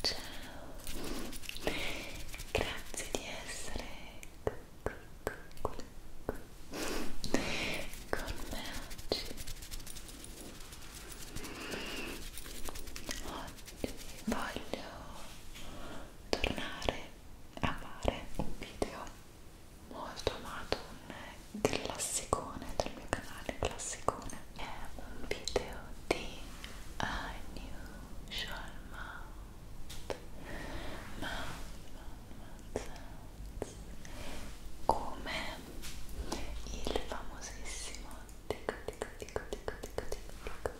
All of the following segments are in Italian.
Ciao, grazie di essere con me oggi. Oggi voglio tornare a fare un video molto amato, un classicone del mio canale, classicone è un video di Unusual Mouth Mouth, Mouth, Mouth Sounds come il famosissimo tico tico tico tico tico tico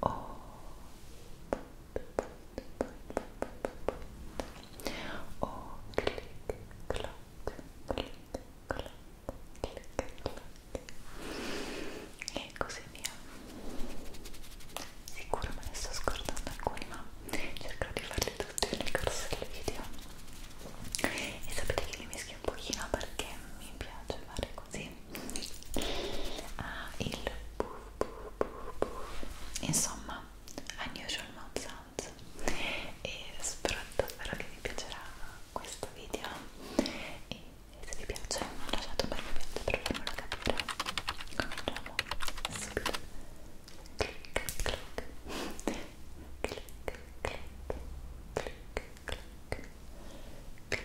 o oh, o clic clac clic clac clic clac e così via sicuro me ne sto scordando alcuni ma cercherò di farli tutti nel corso del video e sapete che li mischio un pochino perché mi piace fare così ha ah, il buff buff buff buff insomma unusual mouth sounds e spero davvero che vi piacerà questo video e se vi piace lasciate un bel mi piace per farmelo capire cominciamo subito clic clic clic clic clic clic clic clic clic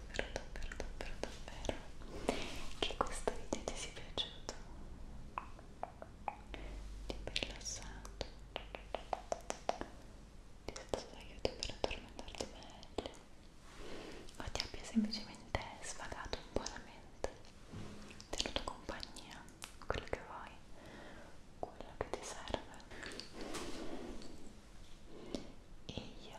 davvero davvero davvero davvero che questo video ti sia piaciuto ti abbia rilassato ti sia stato d'aiuto per addormentarti meglio o ti abbia semplicemente sfagato un po' la mente tenuto compagnia quello che vuoi quello che ti serve e io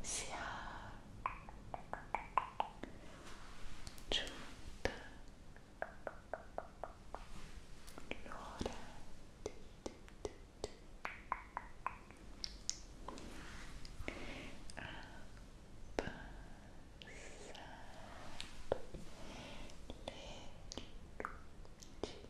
sia giunta l'ora a passare le luci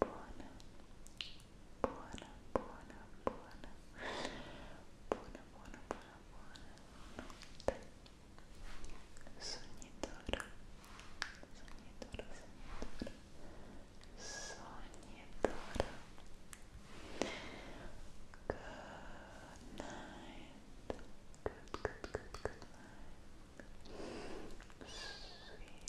buona, buona, buona, buona, buona, buona, buona, buona notte. Sognitoro, sognitoro, sognitoro, sognitoro. Good night. Good, good, good, good night. Sweet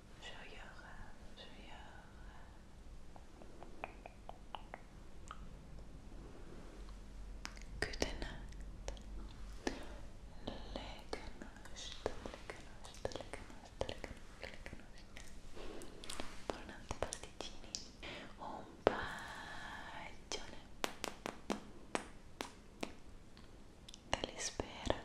gioiosa, gioiosa. Good night. Lekke notte, lekke notte, lekke notte, lekke notte. Buonanotte pasticcini. Un bacione. Te li spero.